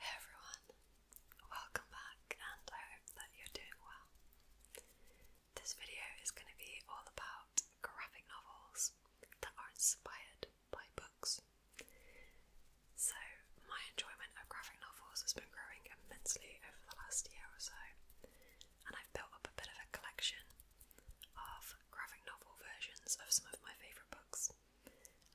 Hey everyone, welcome back and I hope that you're doing well. This video is going to be all about graphic novels that are inspired by books. So, my enjoyment of graphic novels has been growing immensely over the last year or so, and I've built up a bit of a collection of graphic novel versions of some of my favourite books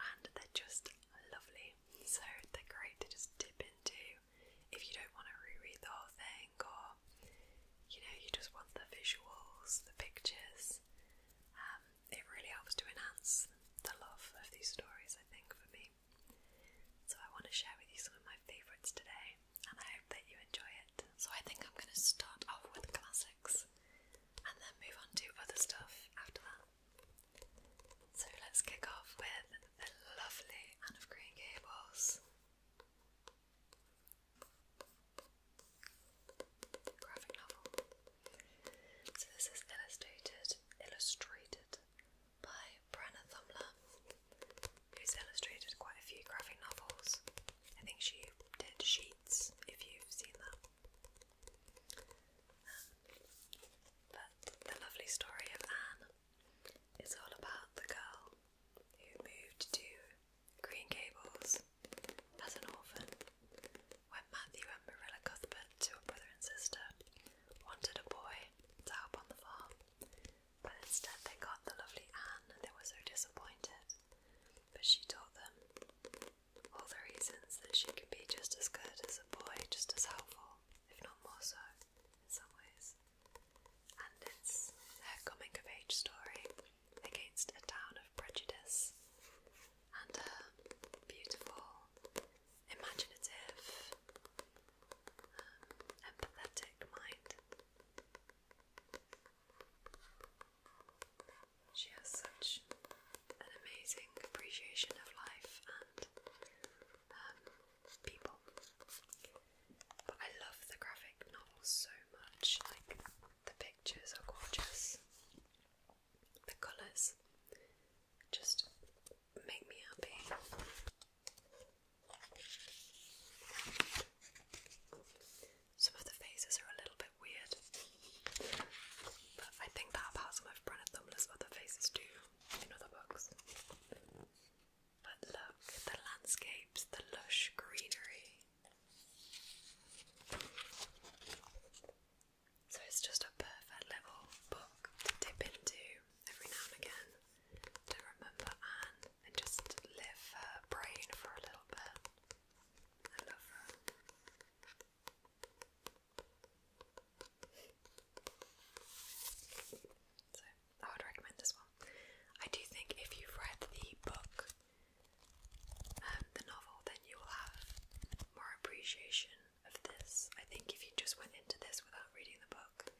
and they're just lovely. So they're great to just dip into if you don't want to reread the whole thing or you know, you just want the visuals, the pictures. Um, it really helps to enhance the love of these stories, I think, for me. So I want to share with you some of my favourites today, and I hope that you enjoy it. So I think I'm going to start off with classics and then move on to other stuff after that. So let's kick off with the lovely Anne of Green Gables. Graphic novel. So this is illustrated illustrated by Brenna Thumler, who's illustrated quite a few graphic novels. I think she did sheets if you've seen that but the lovely story of Anne is all about the girl who moved to Green Gables as an orphan when Matthew and Marilla Cuthbert, two brother and sister, wanted a boy to help on the farm. But instead they got the lovely Anne and they were so disappointed. But she taught them all the reasons that she can be just as good as a boy, just as helpful, if not more so, in some ways. And it's her coming of age story against a town of prejudice and her beautiful, imaginative, um, empathetic mind. She has such an amazing appreciation of life and um, people. But I love the graphic novel so much. Like, the pictures are gorgeous, the colours just make me happy. Some of the faces are a little bit weird, but I think that about some of Brenna Thumbless other faces do in other books. But look, the landscapes, the lush greenery. So it's just a perfect little book to dip into every now and again to remember and just live her brain for a little bit. I love her. So, I would recommend this one. I do think if you've read the book, um, the novel, then you will have more appreciation of this. I think if you just went into this without reading the book,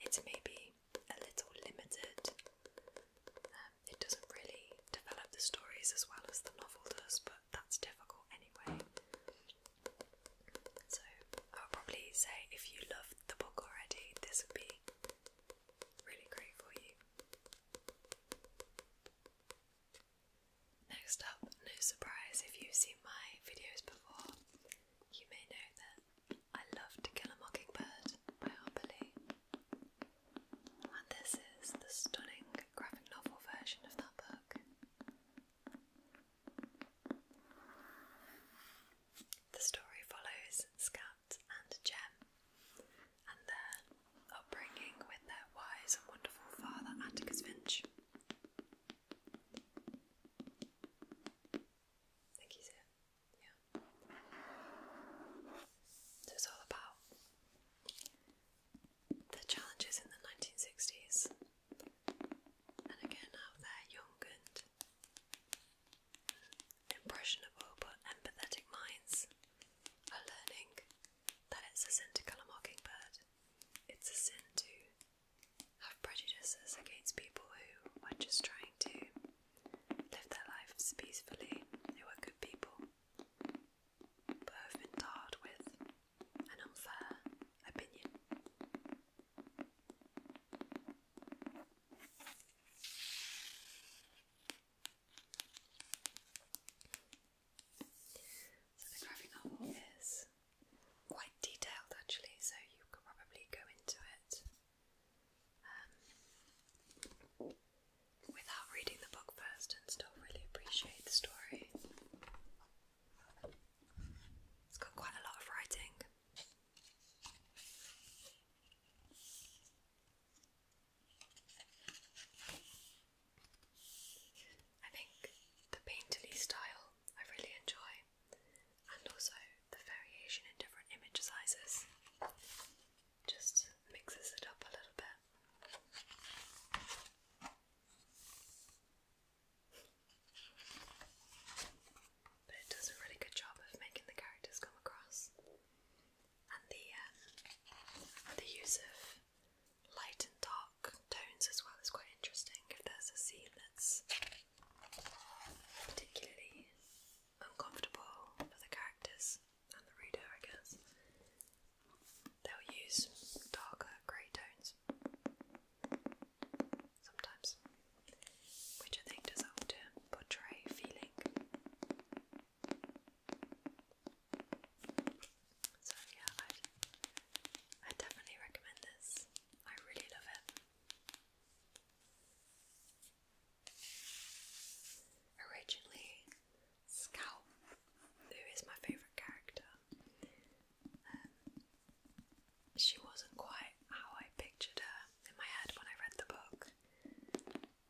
it's maybe a little limited. Um, it doesn't really develop the stories as well as the novel does, but that's difficult anyway. So I would probably say if you loved the book already, this would be really great for you. Next up, no surprise if you've seen my videos before, you may know that I love To Kill a Mockingbird Biopoli. And this is the stunning graphic novel version of that book. The story follows Scout and Jem and their upbringing with their wise and wonderful father, Atticus Finch. think he's it. Yeah. So all about the challenges in the 1960s, and again how their young and impressionable but empathetic minds are learning that it's a sin to kill a mockingbird. It's a sin to have prejudices against people who are just trying to live their lives peacefully, who are good people but have been with an unfair opinion. So the graphic novel is quite detailed actually, so you could probably go into it um, without reading the book first and still really appreciate the story. It's got quite a lot of writing. I think the painterly style I really enjoy, and also the variation in different image sizes just mixes it up a little bit. But it does a really good job of making the characters come across. And the uh, the use of light and dark tones as well is quite interesting. If there's a scene that's particularly uncomfortable for the characters and the reader, I guess. They'll use darker grey tones sometimes, which I think does help to portray feeling. So, yeah, i definitely recommend this. I really love it. Originally, Scout, who is my favourite character, um, she wasn't quite how I pictured her in my head when I read the book,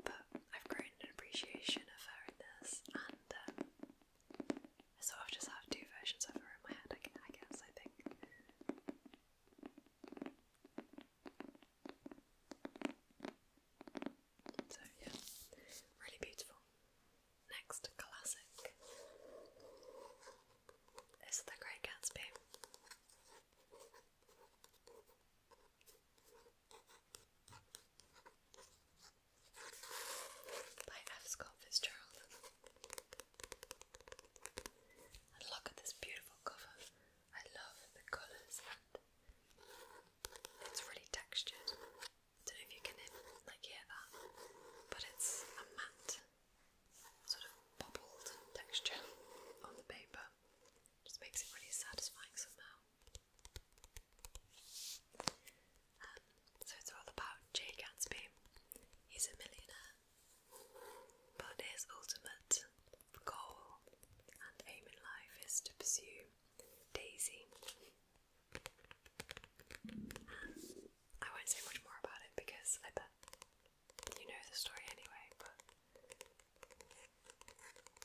but I've grown an appreciation of her in this, and um, I sort of just have two versions of her in my head, I guess, I think. So yeah, really beautiful. Next classic is The Great Gatsby. By F. Scott Fitzgerald. And look at this beautiful cover I love the colours it's really textured. don't know if you can like hear that, but it's a matte sort of bubbled texture on the paper. Just makes it really satisfying somehow. Um, so it's all about Jay Gatsby. He's a millionaire but his ultimate goal and aim in life is to pursue Daisy. I won't say much more about it because I bet you know the story anyway, but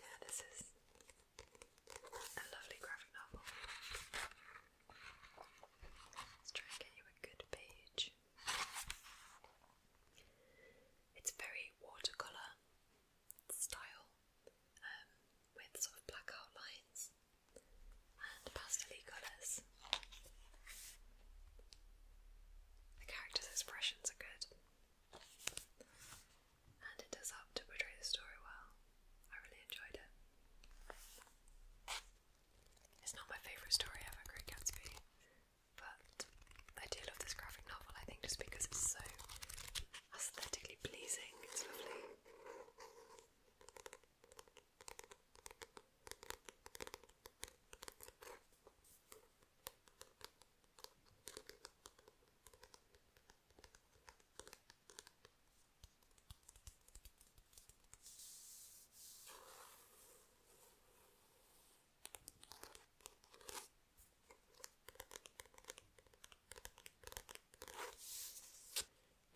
yeah, this is a lovely graphic novel. Let's try and get you a good page. It's very watercolour style um, with sort of black outlines and pastel colours. The characters' expressions are good and it does help to portray the story well. I really enjoyed it. It's not my favourite story ever, Gatsby. But I do love this graphic novel, I think, just because it's so aesthetically pleasing. It's lovely.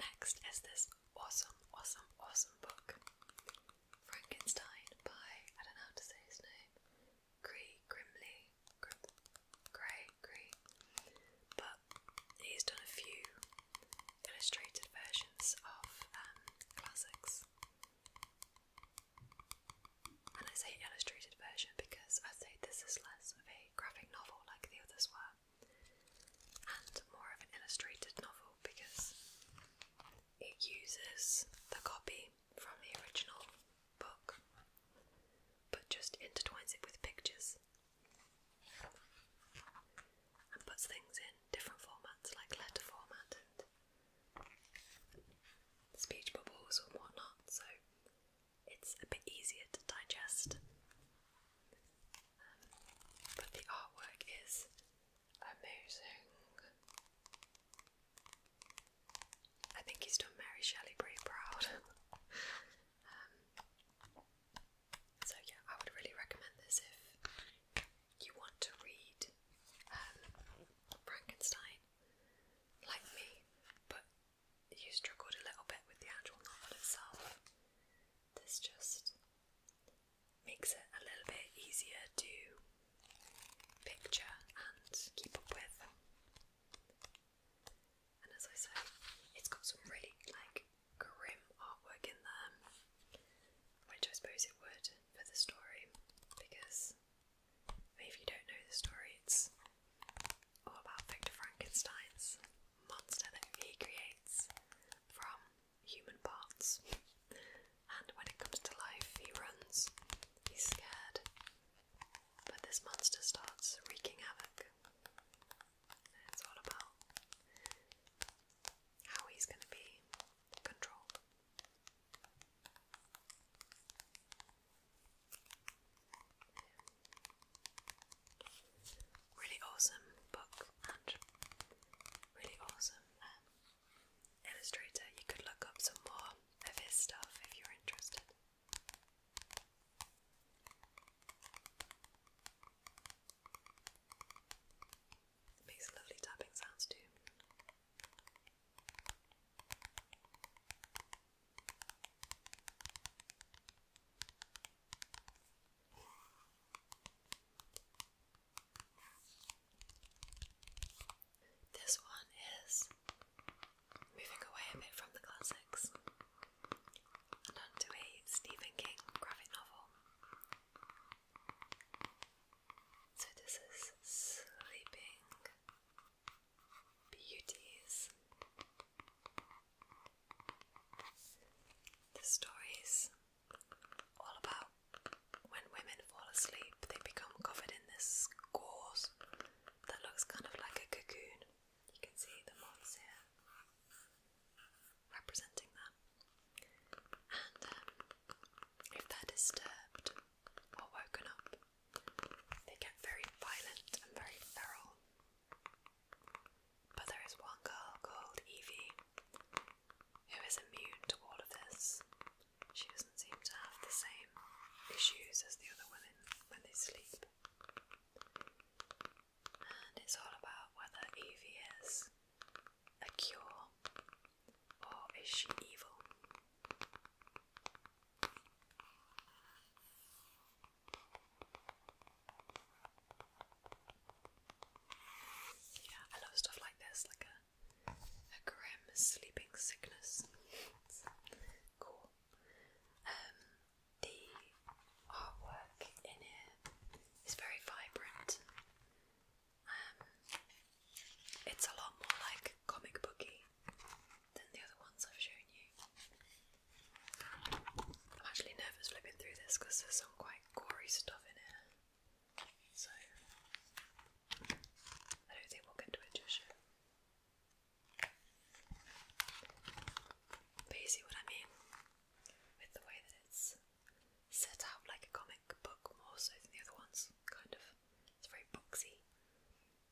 Next is this awesome, awesome, awesome book. Frankenstein by, I don't know how to say his name, Grey Grimley. Grim, Grey, But he's done a few illustrated versions of um, classics. And I say illustrated version because I'd say this is less of a graphic novel like the others were, and more of an illustrated novel because it uses the copy from the original book but just intertwines it with pictures and puts things in different formats like letter format and speech bubbles and whatnot, so it's a bit easier to digest. Um, but the artwork is amazing. I think he's done Mary Shelley pretty proud. Um, so yeah, I would really recommend this if you want to read um, Frankenstein, like me, but you struggled a little bit with the actual novel itself, this just makes it a little bit easier to picture and keep up with. And as I said, it's got some really like grim artwork in there, which I suppose it would for the story because if you don't know the story, it's all about Victor Frankenstein's monster that he creates from human parts. and when it comes to life, he runs, he's scared, but this monster starts wreaking havoc. it's all about how he's going to be Really awesome book and really awesome um, illustrator. You could look up some more of his stuff if you're interested. It makes lovely tapping sounds too. This one is moving away a bit from the classics and onto a Stephen King graphic novel. So, this is Sleeping Beauties. The stories all about when women fall asleep, they become covered in this gauze that looks kind of like a cocoon. You can see the moths here representing them, And um, if they're disturbed or woken up, they get very violent and very feral. But there is one girl called Evie who is immune to all of this. She doesn't seem to have the same issues as the other women when they sleep. And it's all about whether Evie is a cure, or is she evil? Yeah, I love stuff like this, like a a grim sleeping sickness. cool. Um, the artwork in it is very vibrant um, it's a lot more like comic booky than the other ones I've shown you. I'm actually nervous flipping through this because there's some quite gory stuff in it. So I don't think we'll get to it But you see what I mean? with the way that it's set up like a comic book more so than the other ones, kind of. It's very boxy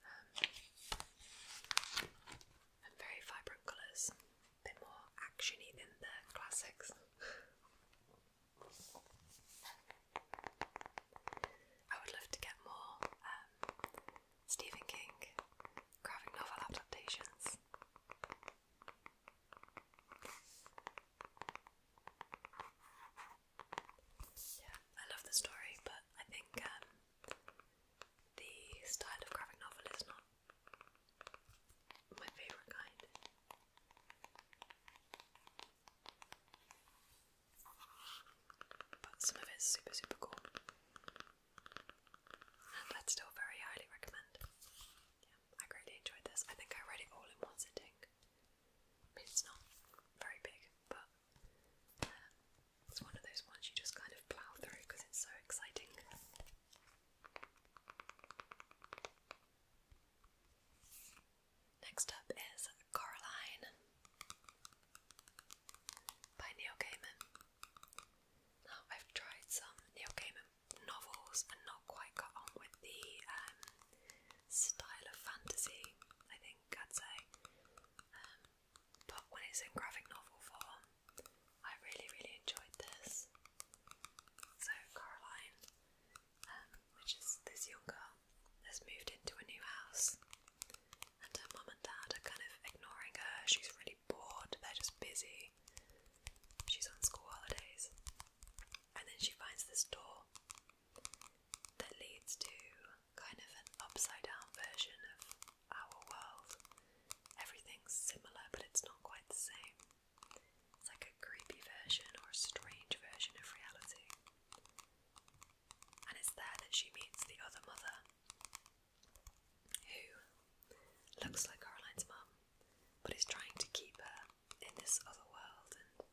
um, and very vibrant colours, a bit more actiony than the classics. I would love to get more um, Stephen King graphic novel adaptations. Yeah, I love the story, but I think um, the style of graphic novel is not my favourite kind. But some of it's super, super cool. And i still very highly recommend yeah, I greatly enjoyed this. I think I read it all in one sitting. it's not very big, but uh, it's one of those ones you just kind of plow through because it's so exciting. Next up is Coraline by Neil Gaiman. Now, I've tried some Neil Gaiman novels and not quite got on with the um, style of fantasy, I think I'd say. Um, but when it's in graphic novel form, I really, really enjoyed this. So, Caroline, um, which is this young girl, has moved into a new house, and her mom and dad are kind of ignoring her. She's really bored, they're just busy. She's on school holidays. And then she finds this door that leads to kind of an upside down version of our world. Everything's similar, but it's not quite the same. It's like a creepy version or a strange version of reality. And it's there that she meets the other mother who looks like Caroline's mom, but is trying to keep her in this other world, and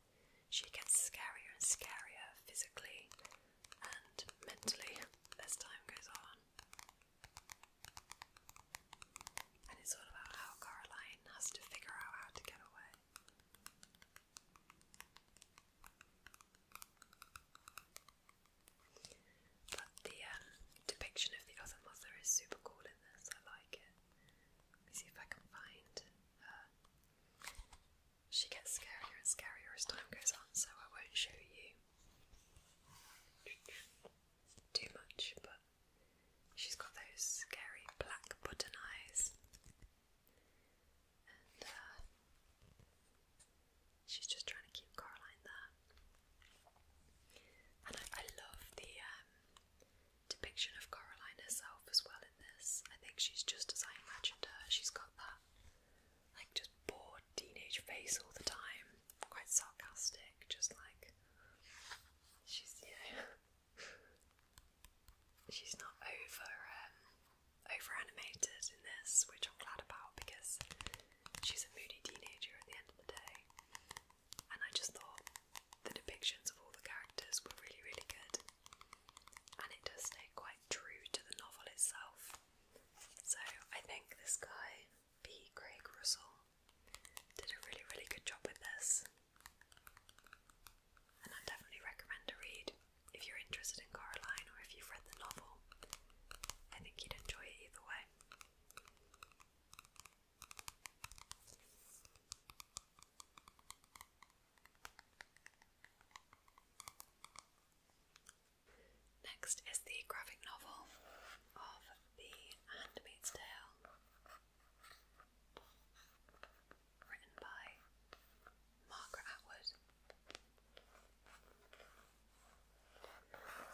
she gets scarier and scarier physically and mentally as time goes on. And it's all about how Caroline has to figure out how to get away. But the um, depiction of the other mother is super cool in this. I like it. see if I can find her. Uh, she gets scarier and scarier as time goes on, so I won't show you too much. But she's got those scary black button eyes. Uh, She's just trying to keep Coraline there. And I, love the um, depiction of Coraline herself as well in this. I think she's just as I imagined her. She's got that, like, just bored teenage face all the time. Quite sarcastic, just like. She's, you know. she's not over. Um, over animated in this, which I'm glad about because she's a moody teenager at the end of the day. And I just thought the depictions of all the characters were really, really good. And it does stay quite true to the novel itself. So I think this guy, P. Craig Russell, did a really, really good job with this. And I definitely recommend a read if you're interested in Coraline or if you've read the novel. I think you'd enjoy it either way. Next is the graphic novel of The Handmaid's Tale, written by Margaret Atwood.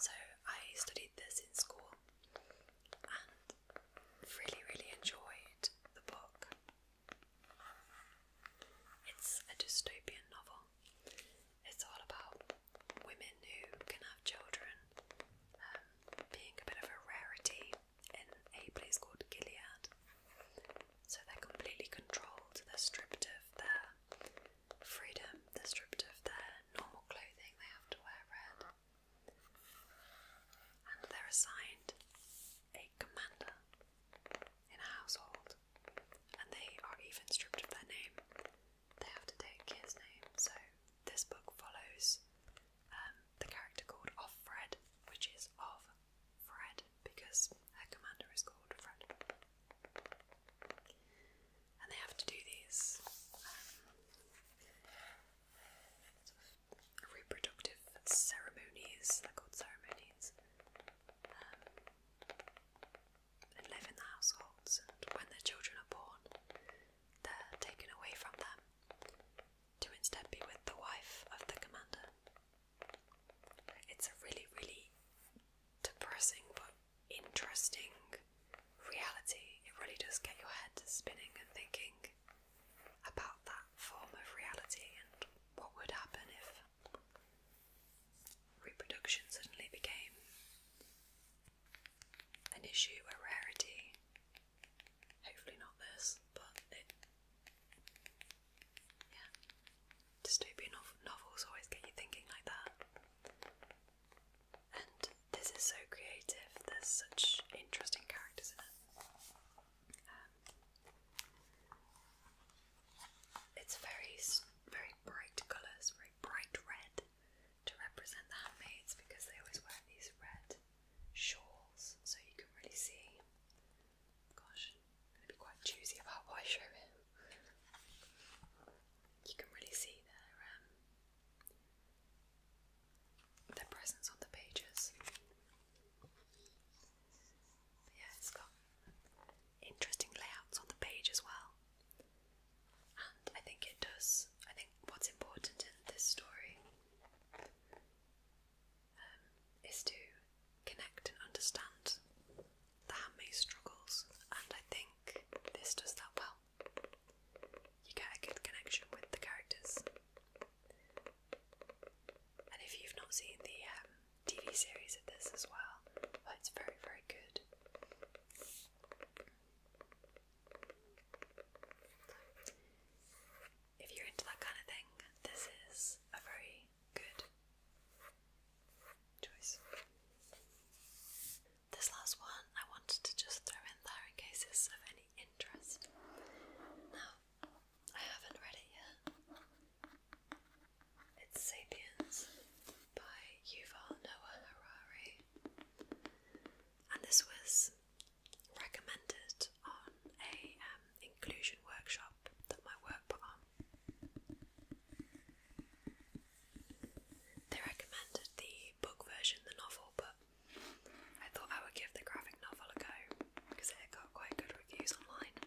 So I studied this in school and really, really enjoyed the book. It's a dystopian novel. It's all about women who can have children, um, being a bit of a rarity in a place called Gilead. So they're completely controlled, they're stripped of their freedom. They're stripped of their normal clothing, they have to wear red. And they're assigned a commander in a household. And they are even stripped of their name. They have to take his name. So this book follows um, the character called Offred, which is of Fred because her commander is called Fred and they have to do these um, reproductive ceremonies, they're called ceremonies, um, and live in the households. And when their children are born, they're taken away from them to instead be with the wife of the commander. It's a really, really depressing but interesting reality. It really does get your head spinning and thinking about that form of reality and what would happen if reproduction suddenly became an issue, a rarity. Hopefully not this, but yeah dystopian novels always get you thinking like that. And this is so creative, there's such interesting characters in it. Um, it's very, very bright colours, very bright red to represent the handmaids because they always wear these red shawls so you can really see. Gosh, I'm be quite choosy about what I show him. You can really see their, um, their presence on the pages. yeah, it's got interesting layouts on the page as well. And I think it does. I think what's important in this story um, is to connect and understand the handmaid's struggles, and I think this does that well. You get a good connection with the characters. And if you've not seen the um, TV series of this as well, well it's very, very good. If you're into that kind of thing, this is a very good choice. This last one I wanted to just throw in there in case it's of any interest. Now, I haven't read it yet. It's Sapiens by Yuval Noah Harari, and this was recommended on a um, inclusion workshop that my work put on. They recommended the book version, the novel, but I thought I would give the graphic novel a go because it got quite good reviews online.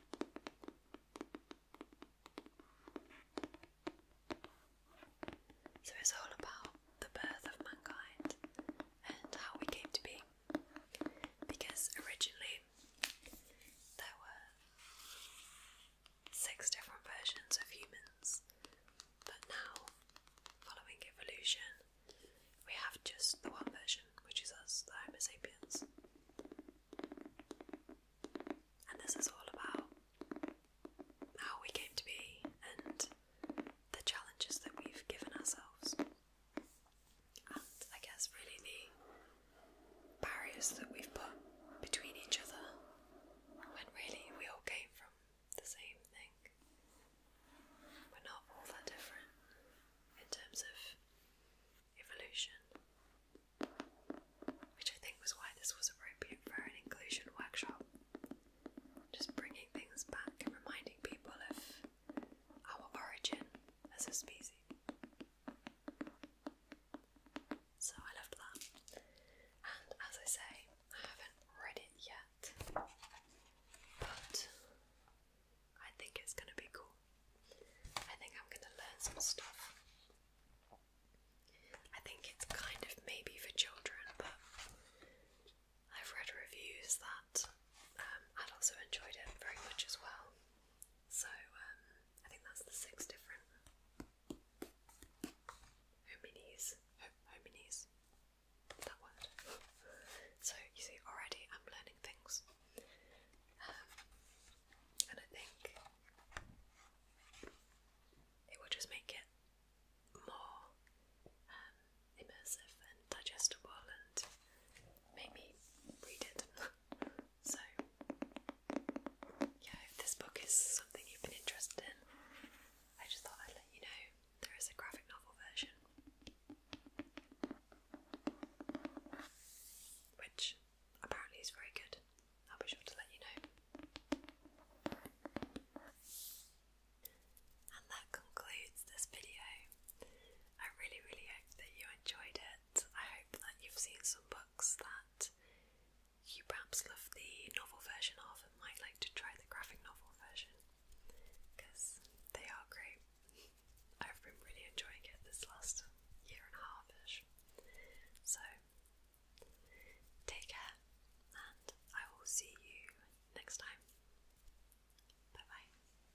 So it's all about the birth of mankind and how we came to be. Because originally there were six different versions of humans, but now, following evolution, we have just the one version, which is us, the Homo sapiens. And this is all about how we came to be and the challenges that we've given ourselves and I guess really the barriers that we've put between each other when really we all came from the same thing. We're not all that different in terms of evolution, which I think was why this was appropriate for an inclusion workshop. Just bringing things back and reminding people of our origin as a species. So I loved that. And as I say, I haven't read it yet, but I think it's going to be cool. I think I'm going to learn some stuff. I think it's kind of maybe for children, but I've read reviews that I'd um, also enjoyed it very much as well. So um, I think that's the six different hominies. hominies. That word. so you see, already I'm learning things, um, and I think it will just make it more um, immersive and digestible, and make read it. So, yeah, if this book is something you've been interested in, I just thought I'd let you know there is a graphic novel version. Which apparently is very good. I'll be sure to let you know. And that concludes this video. I really, really hope that you enjoyed it. I hope that you've seen some books that you perhaps love the novel version of and might like to try the graphic novel version because they are great. I've been really enjoying it this last year and a half ish. So, take care, and I will see you next time. Bye bye.